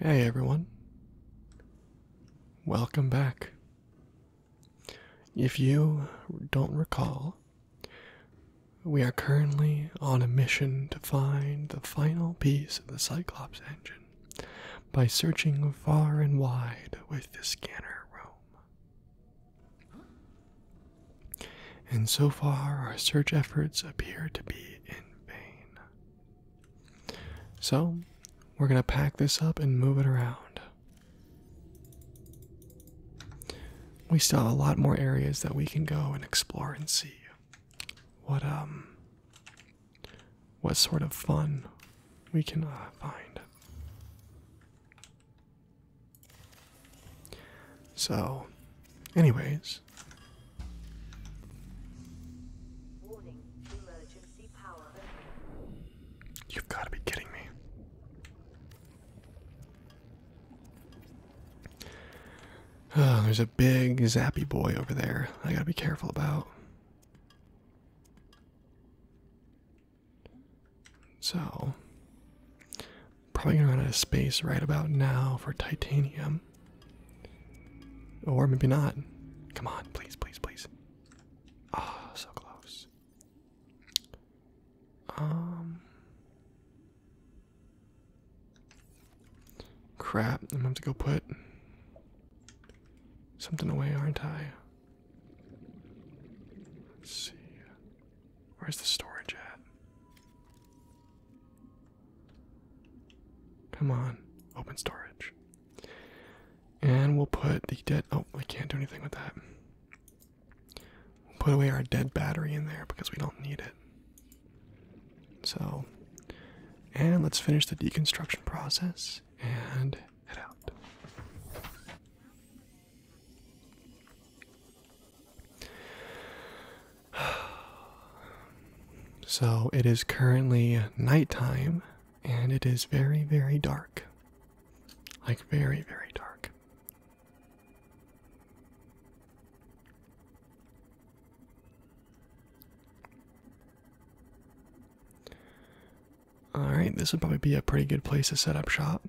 Hey everyone. Welcome back. If you don't recall, we are currently on a mission to find the final piece of the Cyclops engine by searching far and wide with the scanner room. And so far, our search efforts appear to be in vain. So, we're going to pack this up and move it around. We still have a lot more areas that we can go and explore and see what um what sort of fun we can uh, find. So, anyways. You've got to be kidding me. Ah, there's a big zappy boy over there. I got to be careful about. So, probably gonna run out of space right about now for titanium. Or maybe not. Come on, please, please, please. Ah, oh, so close. Um. Crap, I'm gonna have to go put something away, aren't I? Let's see. Where's the storage at? Come on, open storage. And we'll put the dead. Oh, I can't do anything with that. put away our dead battery in there because we don't need it. So, and let's finish the deconstruction process and head out. So it is currently nighttime and it is very, very dark. Like, very, very dark. Alright, this would probably be a pretty good place to set up shop.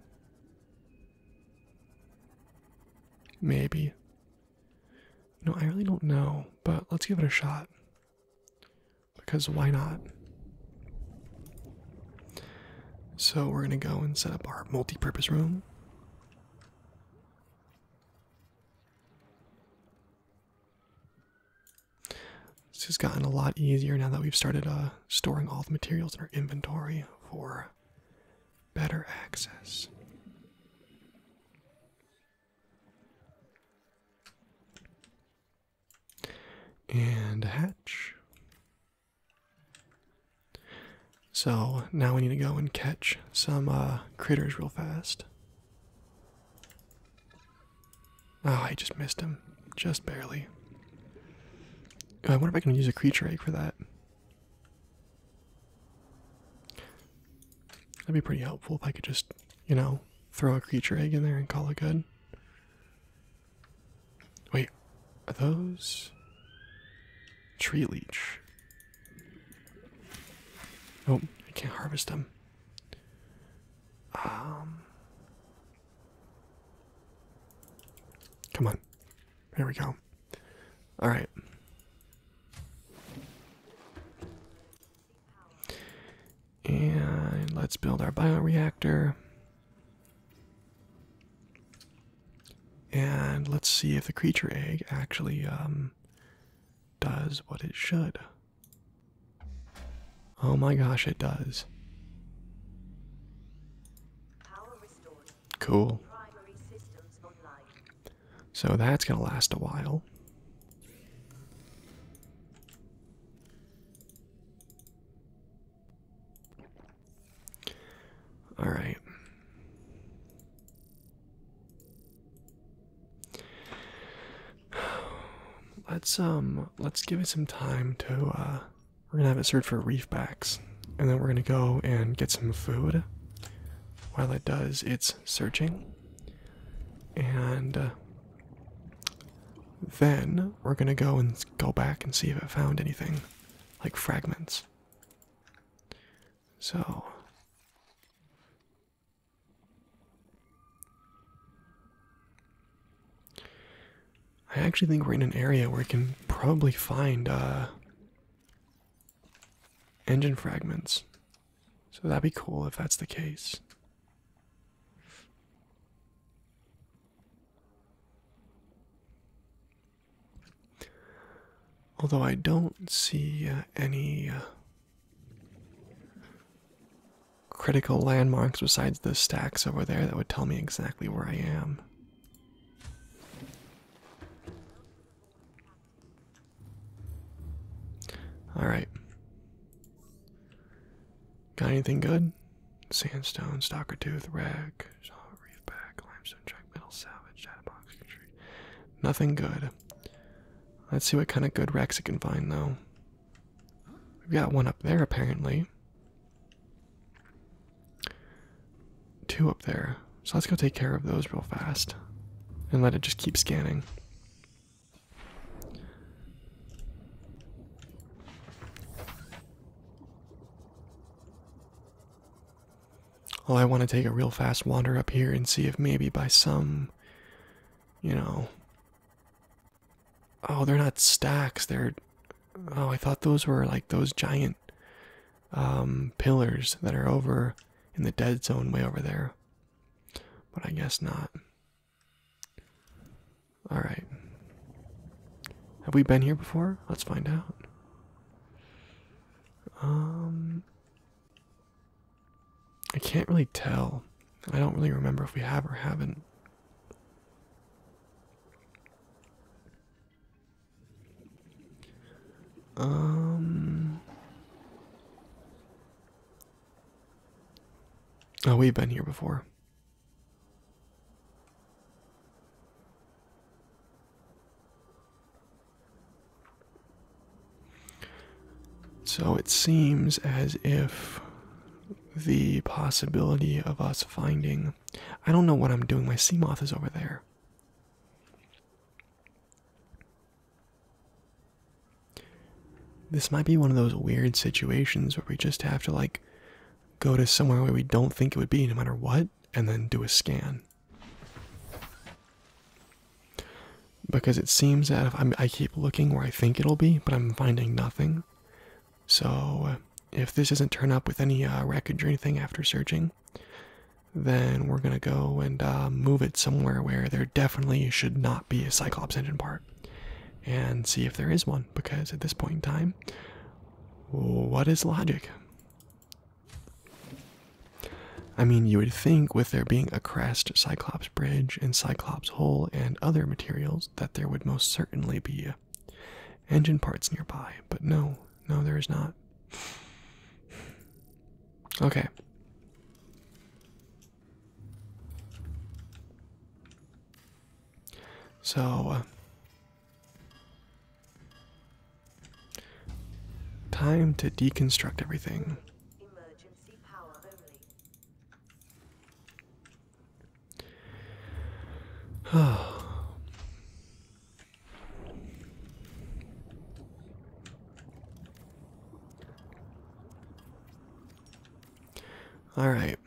Maybe. No, I really don't know, but let's give it a shot. Because why not? So we're gonna go and set up our multi-purpose room. This has gotten a lot easier now that we've started uh, storing all the materials in our inventory for better access. And a hatch. So now we need to go and catch some uh, critters real fast. Oh, I just missed him. Just barely. Oh, I wonder if I can use a creature egg for that. That'd be pretty helpful if I could just, you know, throw a creature egg in there and call it good. Wait, are those tree leech? Oh, I can't harvest them. Um Come on. Here we go. All right. And let's build our bioreactor. And let's see if the creature egg actually um, does what it should. Oh my gosh, it does. Cool. So that's going to last a while. All right. Let's um let's give it some time to uh we're gonna have it search for reef backs, and then we're gonna go and get some food. While it does its searching, and uh, then we're gonna go and go back and see if it found anything, like fragments. So. I actually think we're in an area where we can probably find uh, engine fragments. So that'd be cool if that's the case. Although I don't see uh, any uh, critical landmarks besides those stacks over there that would tell me exactly where I am. Alright. Got anything good? Sandstone, stalker tooth, wreck, reef back, limestone track, metal salvage, shadowbox, tree. Nothing good. Let's see what kind of good wrecks it can find though. We've got one up there apparently. Two up there. So let's go take care of those real fast and let it just keep scanning. Well, I want to take a real fast wander up here and see if maybe by some, you know, Oh, they're not stacks. They're. Oh, I thought those were like those giant um, pillars that are over in the dead zone way over there. But I guess not. Alright. Have we been here before? Let's find out. Um. I can't really tell. I don't really remember if we have or haven't. Um. Oh, we've been here before. So it seems as if the possibility of us finding. I don't know what I'm doing. My sea moth is over there. This might be one of those weird situations where we just have to, like, go to somewhere where we don't think it would be, no matter what, and then do a scan. Because it seems that I keep looking where I think it'll be, but I'm finding nothing. So, uh, if this doesn't turn up with any uh, wreckage or anything after searching, then we're gonna go and uh, move it somewhere where there definitely should not be a Cyclops engine part, and see if there is one. Because at this point in time, what is logic? I mean, you would think with there being a crest Cyclops bridge and Cyclops hole and other materials that there would most certainly be Engine parts nearby, but no, no, there is not. Okay. So, uh, time to deconstruct everything. All right.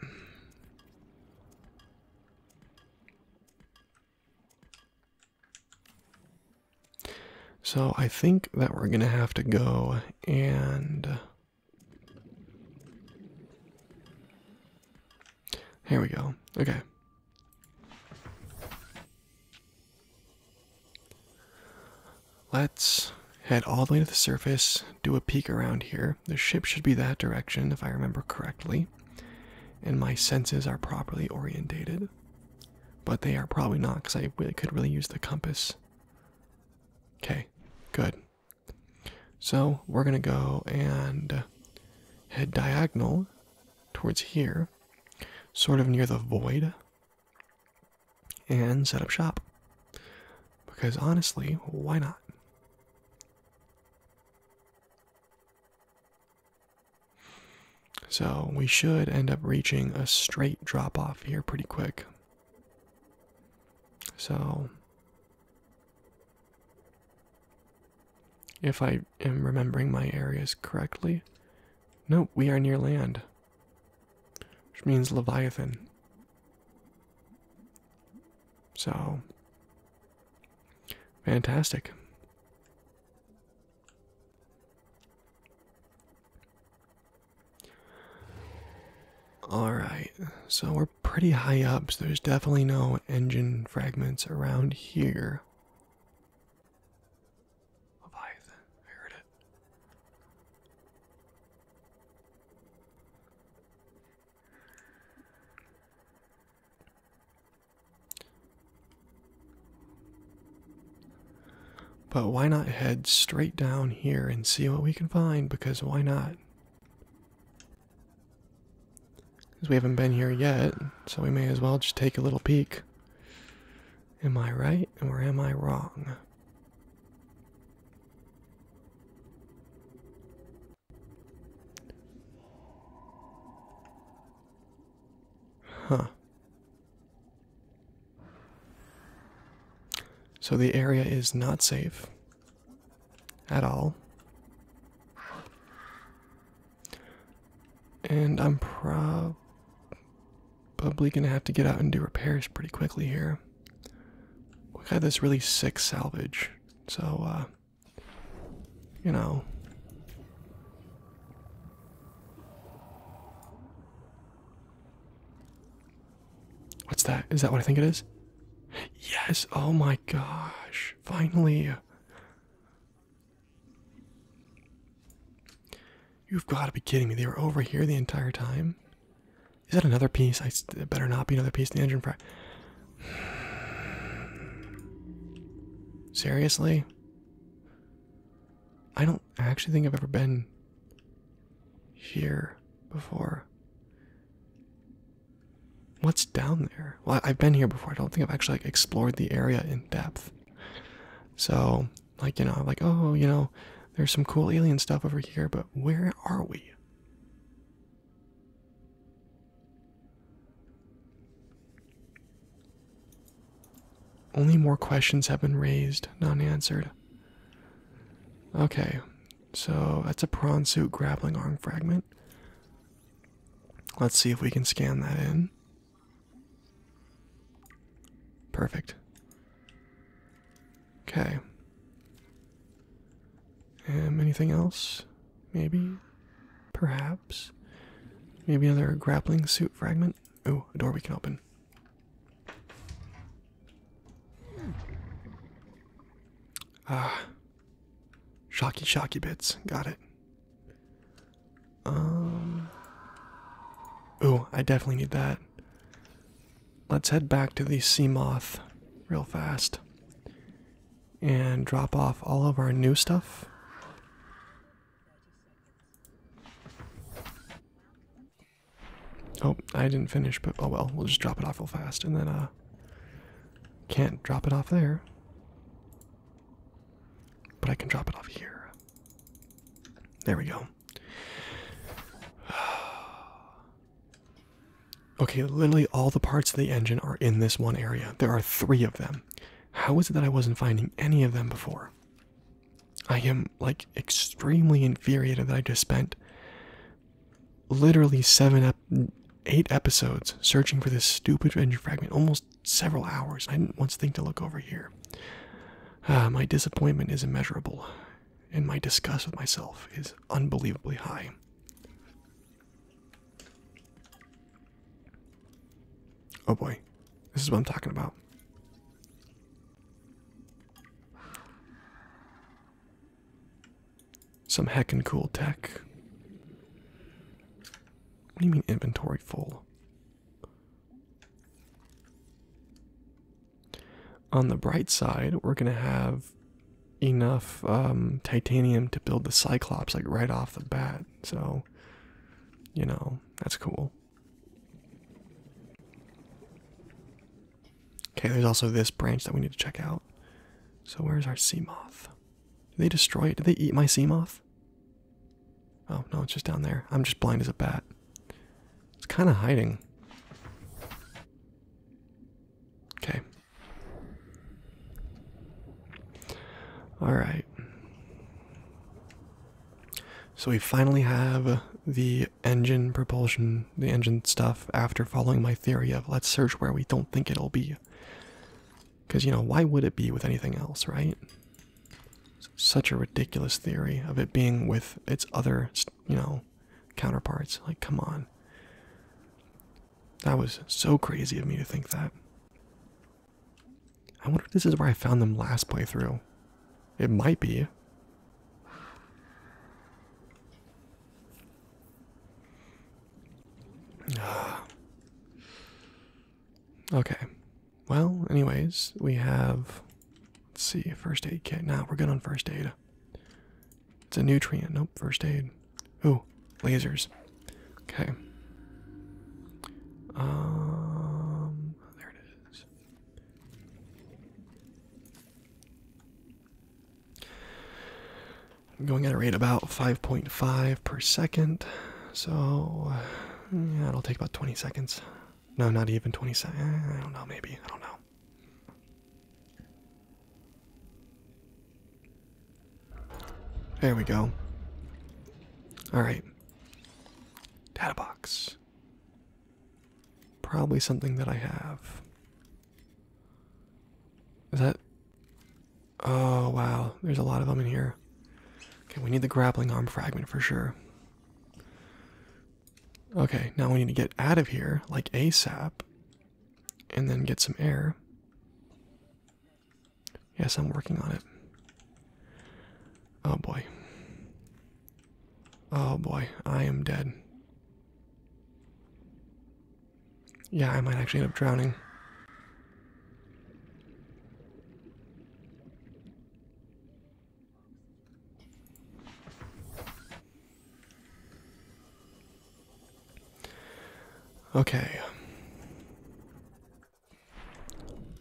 So I think that we're going to have to go and here we go. Okay. Let's head all the way to the surface, do a peek around here. The ship should be that direction if I remember correctly, and my senses are properly orientated. But they are probably not because I could really use the compass. Okay, good. So we're going to go and head diagonal towards here, sort of near the void, and set up shop. Because honestly, why not? So we should end up reaching a straight drop off here pretty quick. So if I am remembering my areas correctly. Nope, we are near land. Which means Leviathan. So. Fantastic. Alright, so we're pretty high up, so there's definitely no engine fragments around here. But why not head straight down here and see what we can find? Because why not? Because we haven't been here yet, so we may as well just take a little peek. Am I right or am I wrong? Huh. So the area is not safe at all. And I'm probably gonna have to get out and do repairs pretty quickly here. We got this really sick salvage, so uh, you know What's that? Is that what I think it is? Yes! Oh my gosh! Finally! You've got to be kidding me. They were over here the entire time? Is that another piece? I better not be another piece. of The engine fry. Seriously? I don't actually think I've ever been here before. What's down there? Well, I've been here before. I don't think I've actually like, explored the area in depth. So, like, you know, like, oh, you know, there's some cool alien stuff over here, but where are we? Only more questions have been raised, not answered. Okay, so that's a prawn suit grappling arm fragment. Let's see if we can scan that in. Perfect. Okay. Um, anything else? Maybe? Perhaps? Maybe another grappling suit fragment? Oh, a door we can open. Ah. Shocky, shocky bits. Got it. Um. Ooh, I definitely need that. Let's head back to the sea moth real fast and drop off all of our new stuff. Oh, I didn't finish, but oh well, we'll just drop it off real fast and then uh can't drop it off there. But I can drop it off here. There we go. Okay, literally all the parts of the engine are in this one area. There are three of them. How is it that I wasn't finding any of them before? I am like extremely infuriated that I just spent literally seven, eight episodes searching for this stupid Avenger fragment, almost several hours. I didn't once think to look over here. Uh, my disappointment is immeasurable, and my disgust with myself is unbelievably high. Oh boy, this is what I'm talking about. Some heckin' cool tech. What do you mean inventory full? On the bright side, we're gonna have enough um, titanium to build the Cyclops like right off the bat. So, you know, that's cool. Okay, there's also this branch that we need to check out. So where's our Seamoth? Did they destroy it? Did they eat my Seamoth? Oh, no, it's just down there. I'm just blind as a bat. It's kind of hiding. Okay. Alright. So we finally have the engine propulsion the engine stuff after following my theory of let's search where we don't think it'll be. Because, you know, why would it be with anything else, right? such a ridiculous theory of it being with its other, you know, counterparts. Like, come on. That was so crazy of me to think that. I wonder if this is where I found them last playthrough. It might be. Ah. okay. Well, anyways, we have. Let's see, first aid kit. Now we're good on first aid. It's a nutrient. Nope, first aid. Ooh, lasers. Okay. Um, there it is. I'm going at a rate about 5.5 per second, so yeah, it'll take about 20 seconds. No, not even 20 seconds. Eh, I don't know, maybe. I don't know. There we go. Alright. Data box. Probably something that I have. Is that? Oh wow, there's a lot of them in here. Okay, we need the grappling arm fragment for sure. Okay, now we need to get out of here like ASAP and then get some air. Yes, I'm working on it. Oh boy. Oh boy, I am dead. Yeah, I might actually end up drowning. Okay.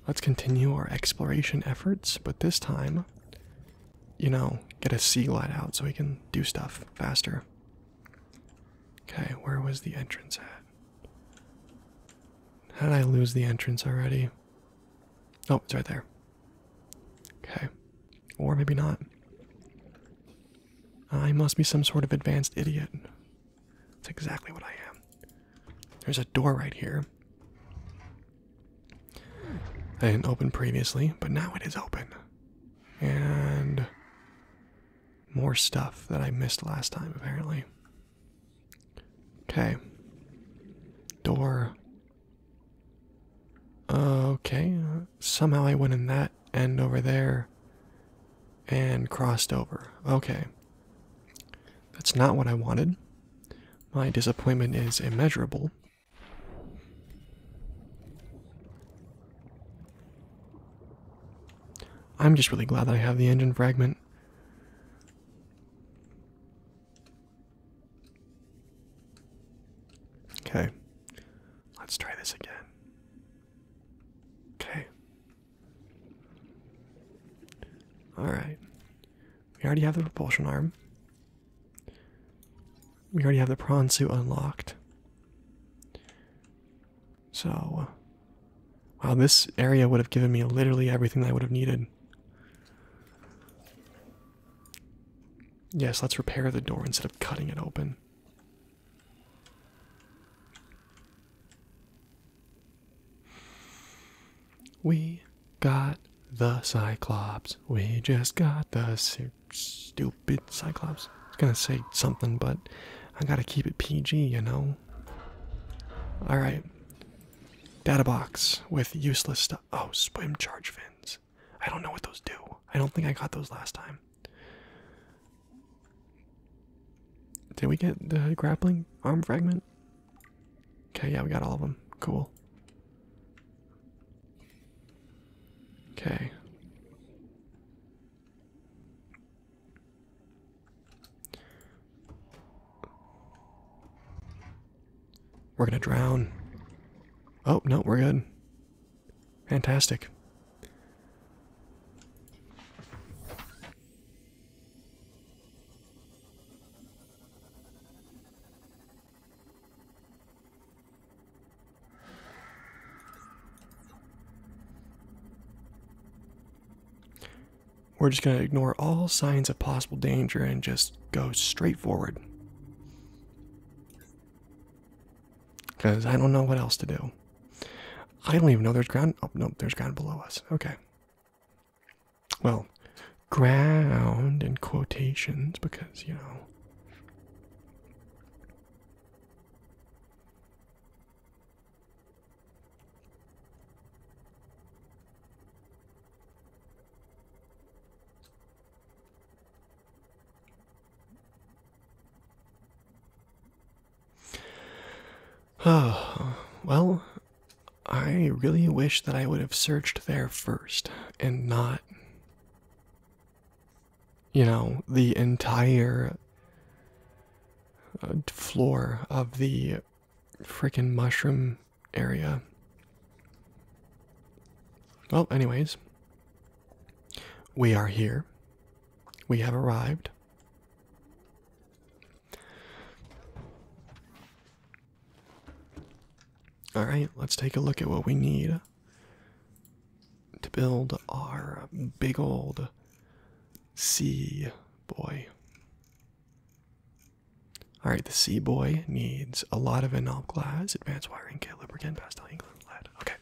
Let's continue our exploration efforts, but this time, you know, get a sea light out so we can do stuff faster. Okay, where was the entrance at? How did I lose the entrance already? Oh, it's right there. Okay. Or maybe not. I must be some sort of advanced idiot. That's exactly what I am. There's a door right here. I didn't open previously, but now it is open and more stuff that I missed last time, apparently. Okay. Door. Okay. Somehow I went in that end over there and crossed over. Okay. That's not what I wanted. My disappointment is immeasurable. I'm just really glad that I have the engine fragment. Okay, let's try this again. Okay. Alright. We already have the propulsion arm we already have the prawn suit unlocked. So, wow, this area would have given me literally everything that I would have needed. Yes, let's repair the door instead of cutting it open. We got the Cyclops. We just got the suit stupid Cyclops. I was gonna say something, but I gotta keep it PG, you know? Alright. Data box with useless stuff. Oh, swim charge fins. I don't know what those do. I don't think I got those last time. Did we get the grappling arm fragment? Okay, yeah, we got all of them. Cool. Okay. We're gonna drown. Oh, no, we're good. Fantastic. We're just going to ignore all signs of possible danger and just go straight forward. Because I don't know what else to do. I don't even know there's ground. Oh, no, there's ground below us. Okay. Well, ground in quotations because, you know. Oh, well, I really wish that I would have searched there first and not you know, the entire uh, floor of the freaking mushroom area. Well, anyways, we are here. We have arrived. All right, let's take a look at what we need to build our big old C boy. Alright, the C boy needs a lot of enamel glass, advanced wiring kit, lubricant, pastel ink, lead. Okay.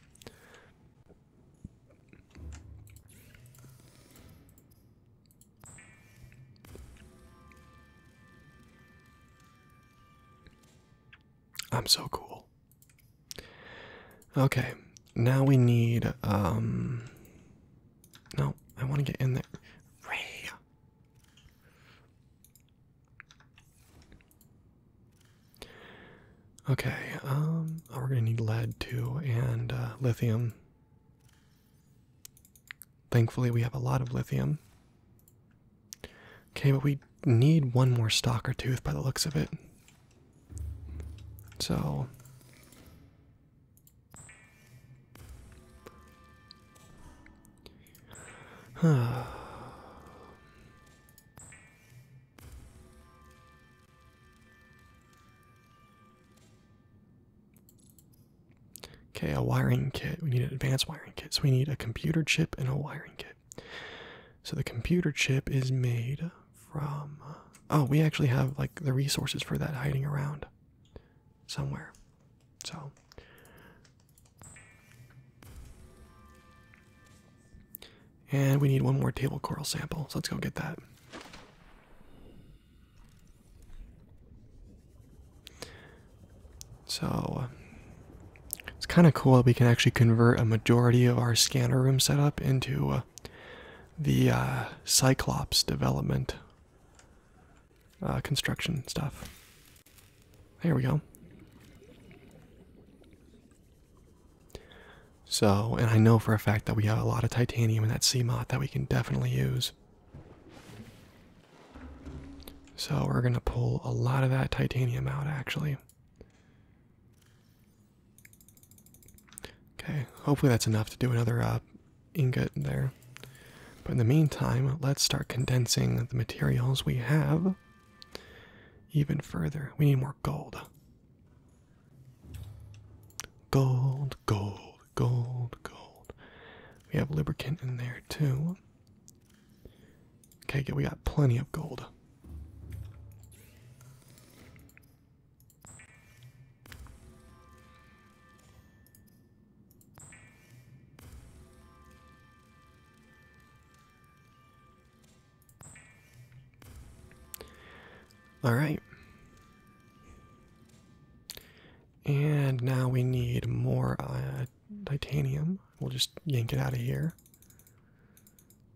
I'm so cool. Okay, now we need, um, no, I want to get in there. Ray! Okay, um, oh, we're gonna need lead too, and uh, lithium. Thankfully, we have a lot of lithium. Okay, but we need one more stalker tooth by the looks of it. So Okay, a wiring kit. We need an advanced wiring kit. So we need a computer chip and a wiring kit. So the computer chip is made from. Oh, we actually have like the resources for that hiding around somewhere. So. And we need one more table coral sample, so let's go get that. So, it's kind of cool that we can actually convert a majority of our scanner room setup into uh, the uh, Cyclops development uh, construction stuff. There we go. So, and I know for a fact that we have a lot of titanium in that CMOT that we can definitely use. So, we're going to pull a lot of that titanium out actually. Okay, hopefully that's enough to do another uh, ingot there. But in the meantime, let's start condensing the materials we have even further. We need more gold. Gold, gold, gold, gold. We have lubricant in there too. Okay, We got plenty of gold. All right. And now we need more uh, titanium. We'll just yank it out of here.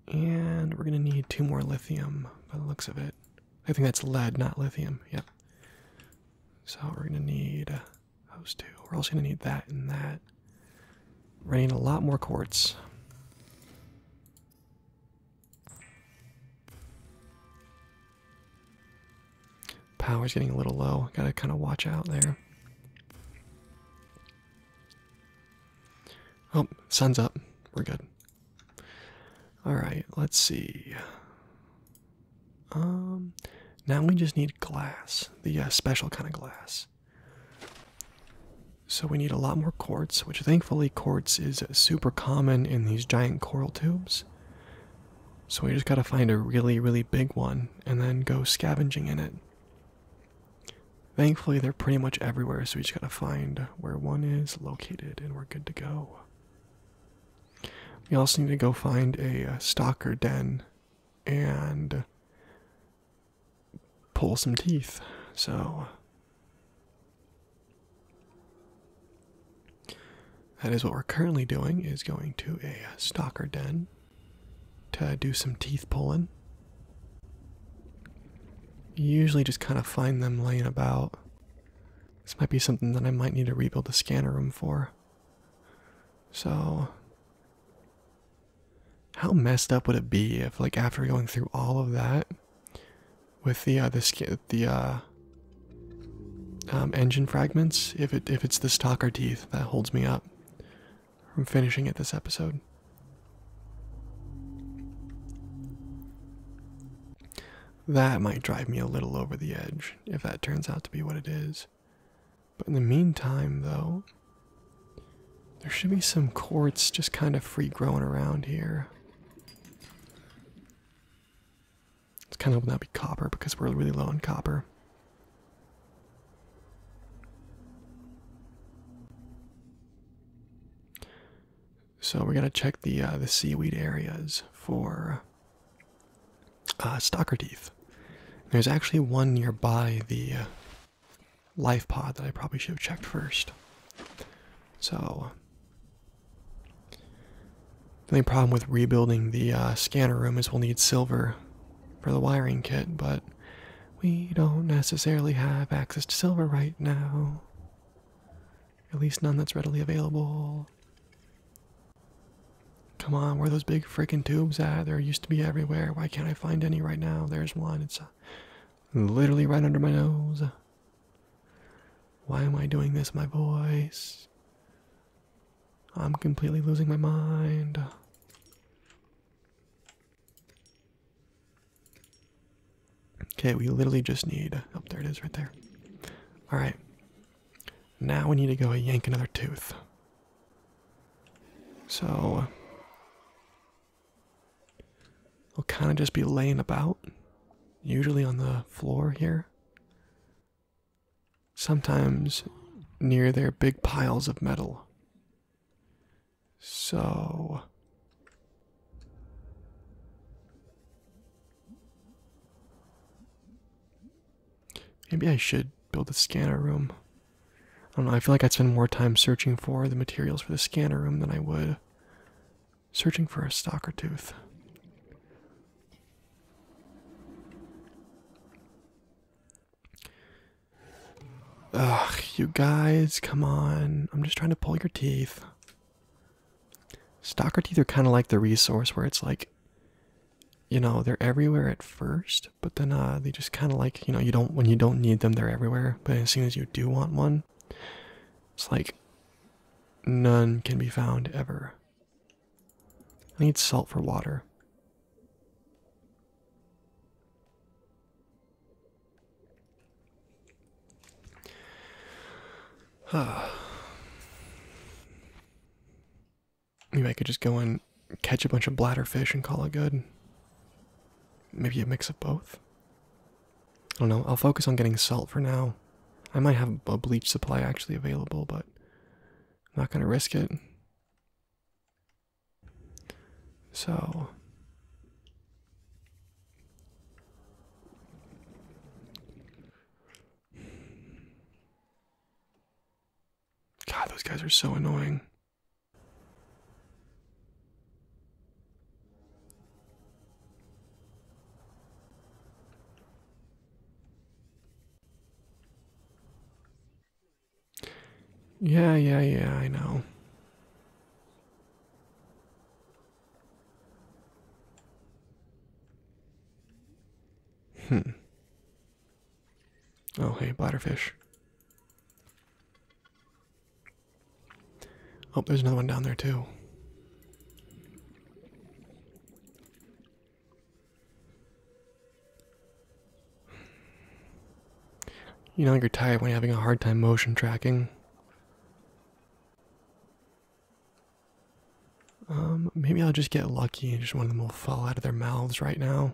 And we're going to need two more lithium by the looks of it. I think that's lead, not lithium. Yeah. So we're going to need those two. We're also going to need that and that. we need a lot more quartz. Power's getting a little low. Gotta kind of watch out there. Oh, sun's up. We're good. Alright, let's see. Um, now we just need glass, the uh, special kind of glass. So we need a lot more quartz, which thankfully quartz is super common in these giant coral tubes. So we just gotta find a really, really big one and then go scavenging in it. Thankfully, they're pretty much everywhere, so we just gotta find where one is located and we're good to go. We also need to go find a uh, stalker den and pull some teeth, so. That is what we're currently doing is going to a stalker den to do some teeth pulling. usually just kind of find them laying about. This might be something that I might need to rebuild the scanner room for. So, how messed up would it be if, like, after going through all of that with the uh, the the uh, um, engine fragments, if it if it's the stalker teeth that holds me up? I'm finishing it this episode. That might drive me a little over the edge if that turns out to be what it is. But in the meantime, though, there should be some quartz just kind of free growing around here. It's kind of hoping that be copper because we're really low on copper. So we're gonna check the uh, the seaweed areas for uh, stalker teeth. There's actually one nearby the uh, life pod that I probably should have checked first. So the only problem with rebuilding the uh, scanner room is we'll need silver for the wiring kit, but we don't necessarily have access to silver right now. At least none that's readily available. Come on, where are those big freaking tubes at? There used to be everywhere. Why can't I find any right now? There's one. It's uh, literally right under my nose. Why am I doing this, my voice? I'm completely losing my mind. Okay, we literally just need. Oh, there it is right there. Alright. Now we need to go yank another tooth. So. We'll kind of just be laying about, usually on the floor here. Sometimes near their big piles of metal. So maybe I should build a scanner room. I don't know, I feel like I'd spend more time searching for the materials for the scanner room than I would searching for a stalker tooth. Ugh, you guys, come on. I'm just trying to pull your teeth. Stalker teeth are kind of like the resource where it's like, you know, they're everywhere at first, but then uh, they just kind of like, you know, you don't, when you don't need them, they're everywhere. But as soon as you do want one, it's like none can be found ever. I need salt for water. Maybe I could just go and catch a bunch of bladder fish and call it good. Maybe a mix of both. I don't know. I'll focus on getting salt for now. I might have a bleach supply actually available, but I'm not going to risk it. So God, those guys are so annoying. Yeah, yeah, yeah, I know. Hmm. Oh, hey, bladderfish. Oh, there's another one down there, too. You know you're tired when you're having a hard time motion tracking. Um, maybe I'll just get lucky and just one of them will fall out of their mouths right now.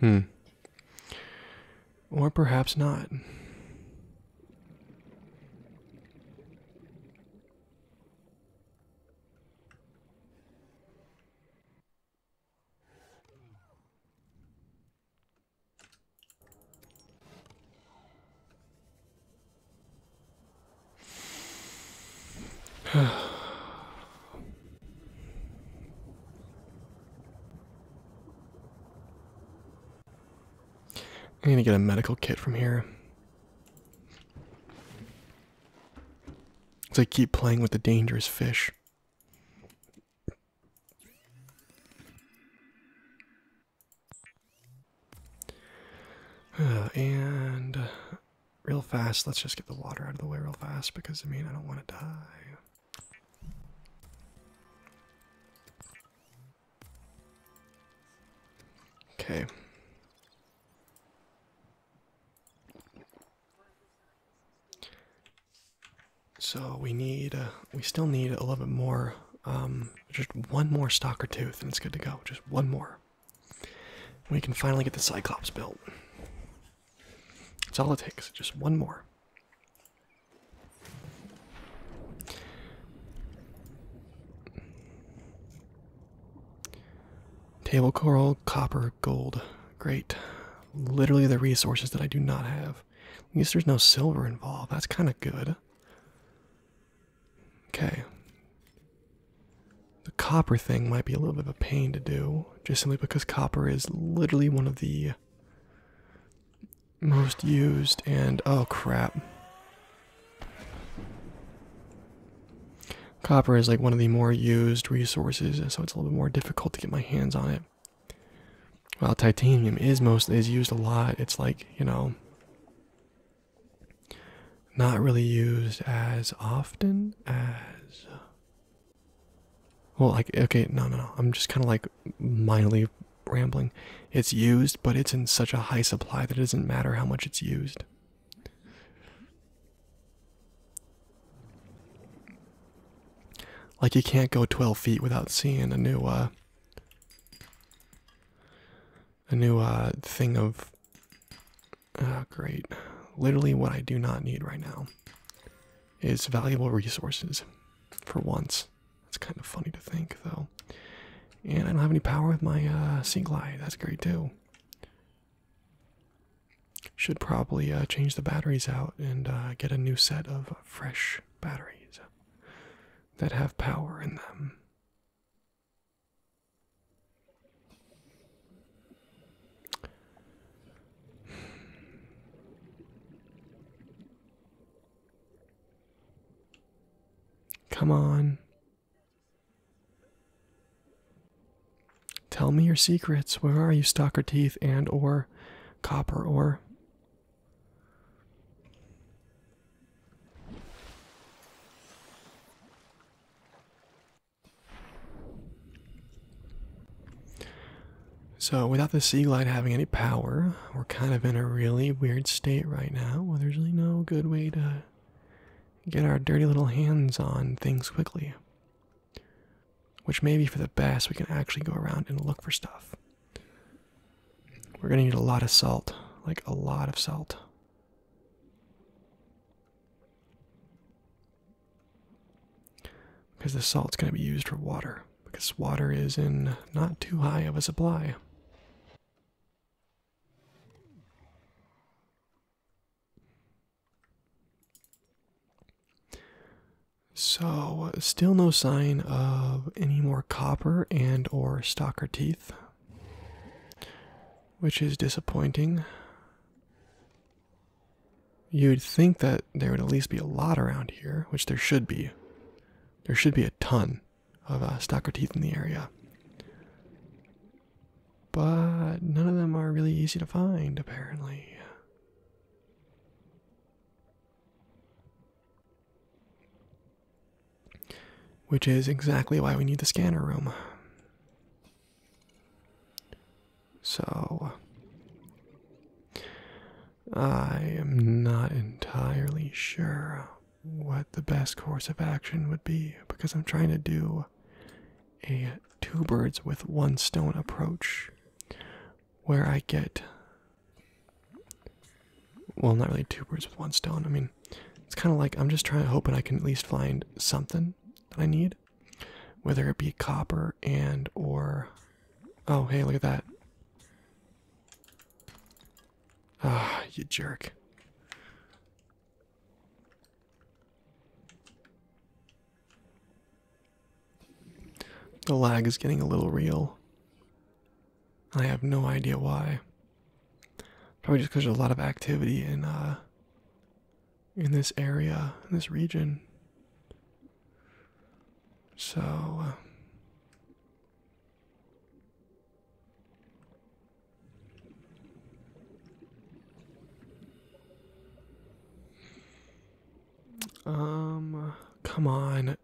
Hmm. Or perhaps not. I'm gonna get a medical kit from here. As I keep playing with the dangerous fish. Uh, and Real fast, let's just get the water out of the way real fast because I mean, I don't want to die. Okay. So we need, uh, we still need a little bit more, um, just one more stalker tooth and it's good to go. Just one more. We can finally get the Cyclops built. That's all it takes, just one more. Table coral, copper, gold. Great. Literally the resources that I do not have. At least there's no silver involved. That's kind of good. Okay. The copper thing might be a little bit of a pain to do, just simply because copper is literally one of the most used and oh crap. Copper is like one of the more used resources, so it's a little bit more difficult to get my hands on it. While titanium is mostly is used a lot, it's like, you know, not really used as often as well like okay no no no i'm just kind of like mildly rambling it's used but it's in such a high supply that it doesn't matter how much it's used like you can't go 12 feet without seeing a new uh a new uh thing of Oh, great. Literally, what I do not need right now is valuable resources for once. That's kind of funny to think, though. And I don't have any power with my uh, sink light. That's great, too. Should probably uh, change the batteries out and uh, get a new set of fresh batteries that have power in them. Come on. Tell me your secrets. Where are you, stalker teeth and or copper ore? So, without the Sea Glide having any power, we're kind of in a really weird state right now where there's really no good way to get our dirty little hands on things quickly. Which may be for the best, we can actually go around and look for stuff. We're gonna need a lot of salt, like a lot of salt. Because the salt's going to be used for water, because water is in not too high of a supply. So, still no sign of any more copper and or stalker teeth, which is disappointing. You'd think that there would at least be a lot around here, which there should be. There should be a ton of uh, stalker teeth in the area. But none of them are really easy to find, apparently. Which is exactly why we need the scanner room. So, I am not entirely sure what the best course of action would be because I'm trying to do a two birds with one stone approach where I get. Well, not really two birds with one stone. I mean, it's kind of like I'm just trying, to hoping I can at least find something that I need whether it be copper and or oh hey look at that ah you jerk the lag is getting a little real i have no idea why probably just because there's a lot of activity and uh in this area, in this region. So. Uh, um, come on.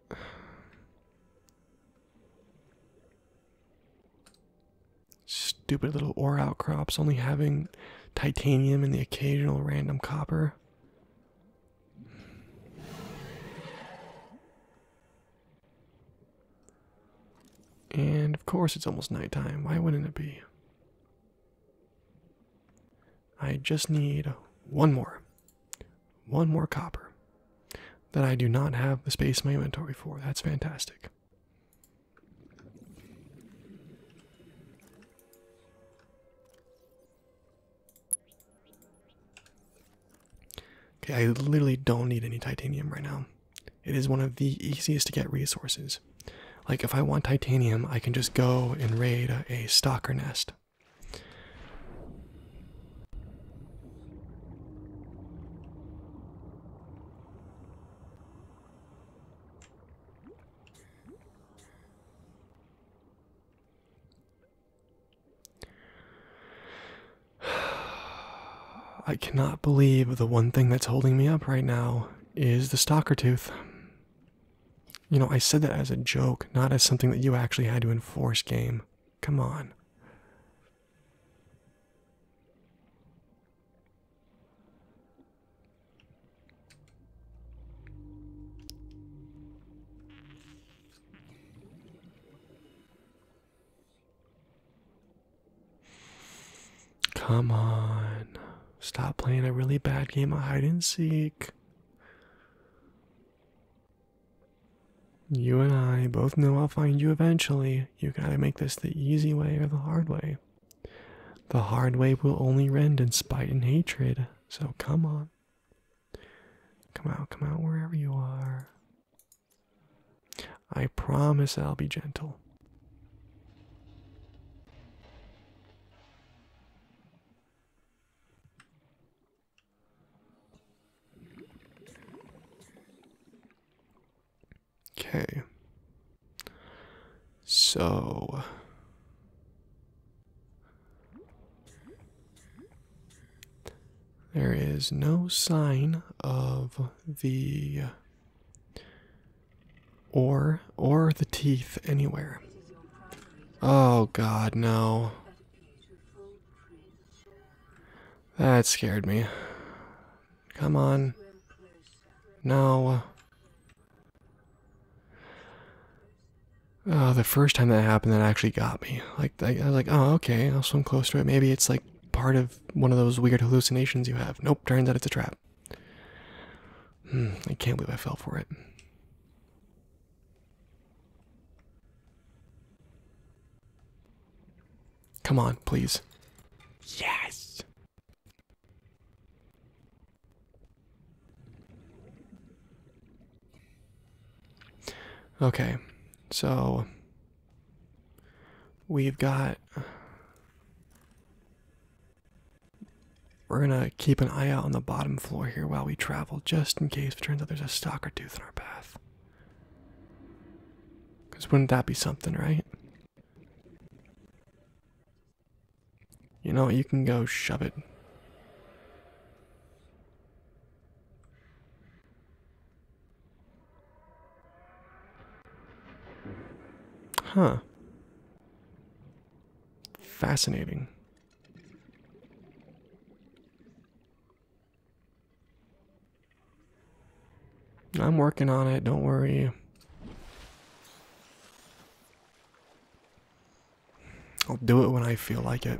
Stupid little ore outcrops only having titanium and the occasional random copper. And of course, it's almost nighttime. Why wouldn't it be? I just need one more. One more copper that I do not have the space in my inventory for. That's fantastic. Okay, I literally don't need any titanium right now. It is one of the easiest to get resources. Like, if I want titanium, I can just go and raid a stalker nest. I cannot believe the one thing that's holding me up right now is the stalker tooth. You know, I said that as a joke, not as something that you actually had to enforce, game. Come on. Come on. Stop playing a really bad game of hide and seek. You and I both know I'll find you eventually. You can either make this the easy way or the hard way. The hard way will only rend in spite and hatred, so come on. Come out, come out wherever you are. I promise I'll be gentle. Okay. So there is no sign of the or or the teeth anywhere. Oh god, no. That scared me. Come on. No. Uh, uh, the first time that happened, that actually got me. Like, I, was like, oh, okay, I'll swim close to it. Maybe it's like part of one of those weird hallucinations you have. Nope, turns out it's a trap. Hmm, I can't believe I fell for it. Come on, please. Yes! Okay, so we've got. We're gonna keep an eye out on the bottom floor here while we travel, just in case it turns out there's a stalker tooth in our path. Because wouldn't that be something, right? You know, you can go shove it. Huh. Fascinating. I'm working on it, don't worry. I'll do it when I feel like it.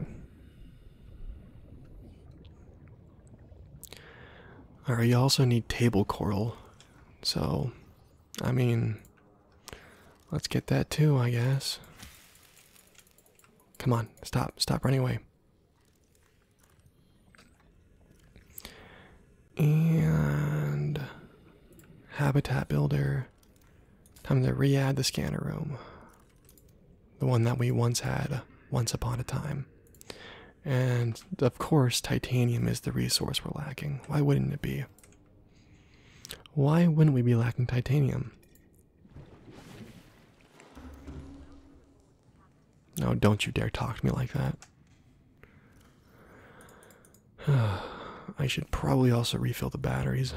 Alright, you also need table coral. So, I mean, let's get that too, I guess. Come on, stop, stop running away. And habitat builder. Time to re add the scanner room. The one that we once had once upon a time. And of course, titanium is the resource we're lacking. Why wouldn't it be? Why wouldn't we be lacking titanium? No, don't you dare talk to me like that. I should probably also refill the batteries.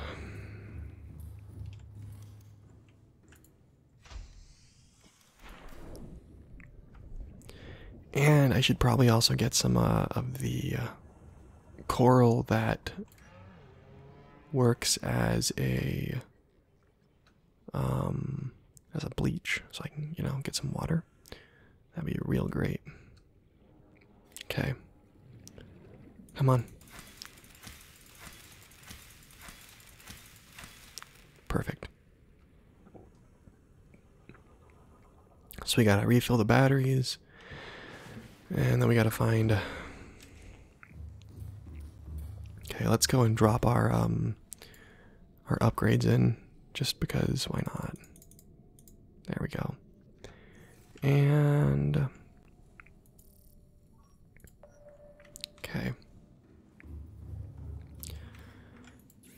And I should probably also get some uh, of the uh, coral that works as a um, as a bleach so I can, you know, get some water. That'd be real great. Okay. Come on. Perfect. So we gotta refill the batteries. And then we gotta find. Okay, let's go and drop our um our upgrades in just because why not? There we go. And okay.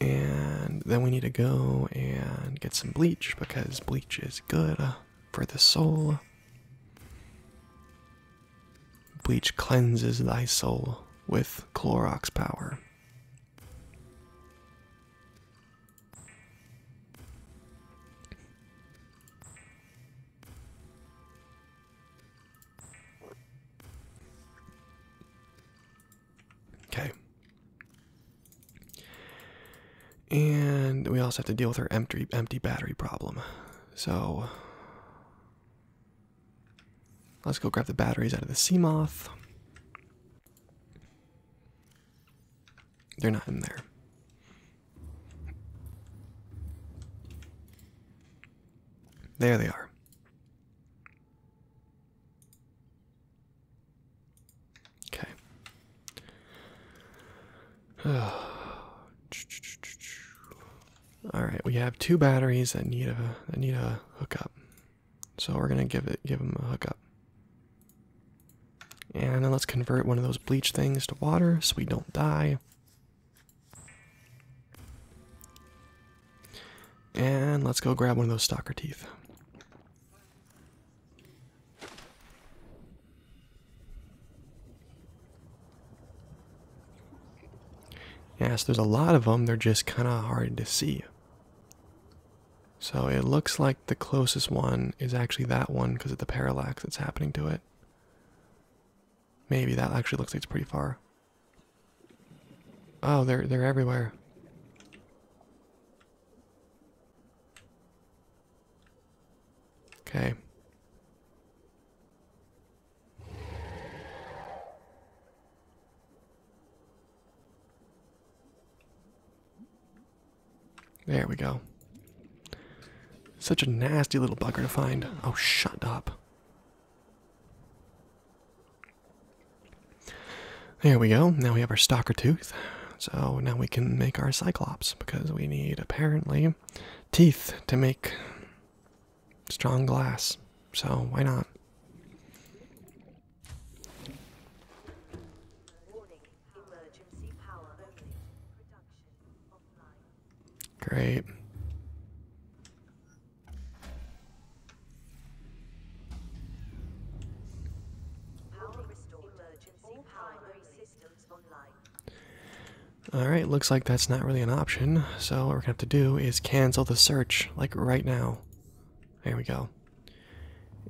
And then we need to go and get some bleach because bleach is good for the soul. Bleach cleanses thy soul with Clorox power. Okay. And we also have to deal with our empty empty battery problem. So Let's go grab the batteries out of the moth. They're not in there. There they are. Okay. All right, we have two batteries that need a that need a hookup. So we're gonna give it give him a hookup. And then let's convert one of those bleach things to water so we don't die. And let's go grab one of those stalker teeth. Yes, there's a lot of them, they're just kind of hard to see. So it looks like the closest one is actually that one because of the parallax that's happening to it. Maybe that actually looks like it's pretty far. Oh, they're they're everywhere. Okay. There we go. Such a nasty little bugger to find. Oh, shut up. There we go. Now we have our stalker tooth. So now we can make our cyclops because we need apparently teeth to make strong glass. So why not? Great. Alright, looks like that's not really an option, so what we're gonna have to do is cancel the search, like right now. There we go.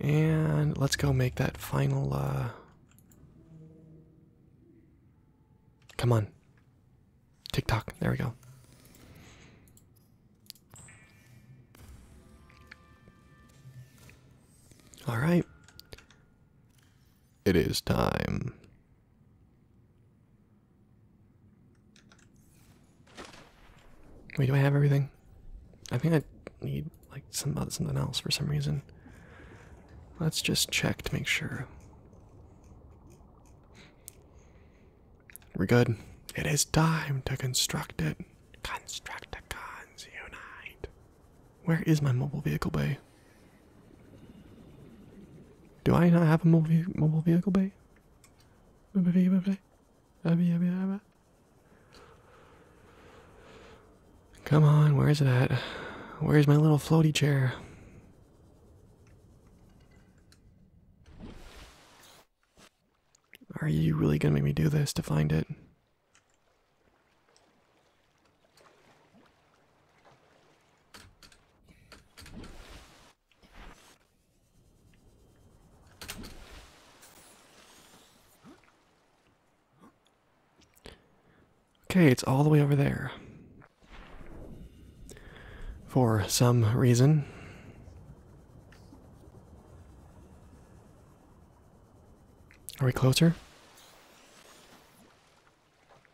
And let's go make that final uh Come on. TikTok. There we go. All right. It is time. Wait, do I have everything? I think I need like some uh, something else for some reason. Let's just check to make sure. We're good. It is time to construct it. Constructicons unite. Where is my mobile vehicle bay? Do I not have a mobile mobile vehicle bay? Come on, where's it at? Where's my little floaty chair? Are you really gonna make me do this to find it? Okay, it's all the way over there. For some reason. Are we closer?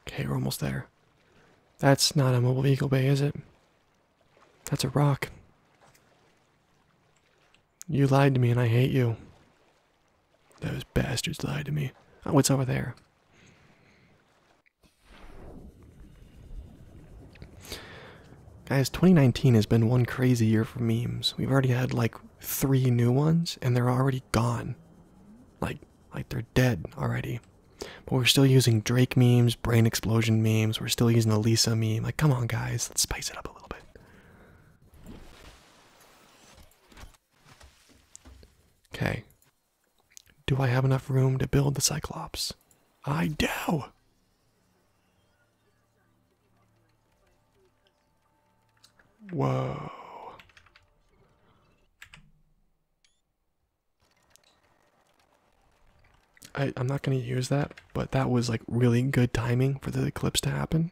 Okay, we're almost there. That's not a mobile eagle bay, is it? That's a rock. You lied to me and I hate you. Those bastards lied to me. Oh, what's over there? Guys, 2019 has been one crazy year for memes. We've already had like three new ones and they're already gone. Like like they're dead already. But we're still using Drake memes, brain explosion memes, we're still using the Lisa meme. Like, come on, guys, let's spice it up a little bit. Okay. Do I have enough room to build the Cyclops? I do! Whoa. I, am not going to use that, but that was like really good timing for the eclipse to happen.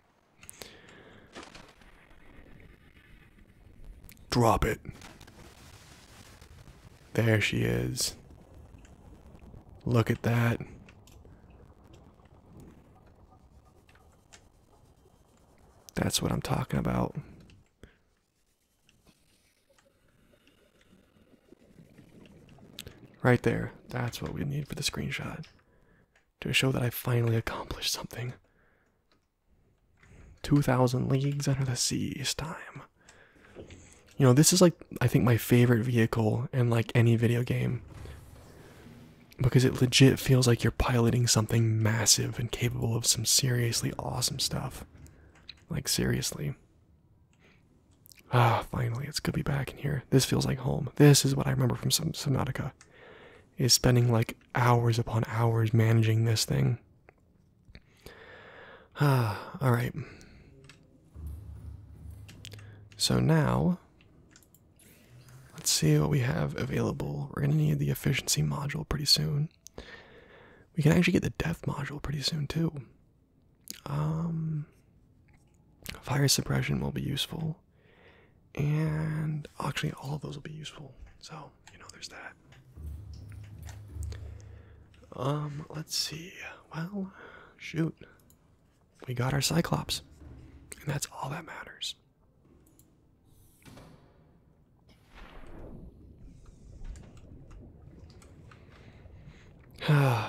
Drop it. There she is. Look at that. That's what I'm talking about. Right there. That's what we need for the screenshot. To show that I finally accomplished something. 2,000 leagues under the sea. seas time. You know, this is like, I think, my favorite vehicle in like any video game. Because it legit feels like you're piloting something massive and capable of some seriously awesome stuff. Like, seriously. Ah, finally, it's good to be back in here. This feels like home. This is what I remember from Subnautica. Is spending like hours upon hours managing this thing. Ah, alright. So now, let's see what we have available. We're going to need the efficiency module pretty soon. We can actually get the death module pretty soon, too. Um, fire suppression will be useful, and actually, all of those will be useful. So you know, there's that. Um, let's see. Well, shoot, we got our Cyclops, and that's all that matters.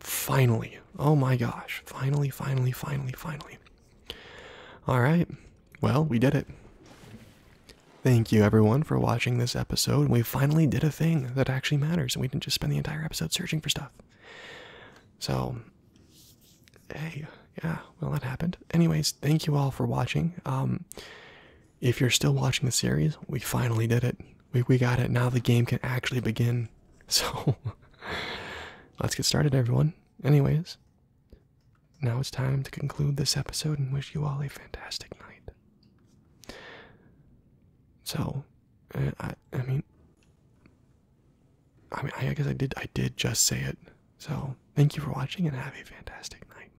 finally. Oh my gosh. Finally, finally, finally, finally. All right. Well, we did it. Thank you everyone for watching this episode. We finally did a thing that actually matters and we didn't just spend the entire episode searching for stuff. So, hey, yeah, well, that happened. Anyways, thank you all for watching. Um, if you're still watching the series, we finally did it. We we got it. Now the game can actually begin. So let's get started, everyone. Anyways, now it's time to conclude this episode and wish you all a fantastic night. So, uh, I I mean, I mean I guess I did I did just say it. So thank you for watching and have a fantastic night.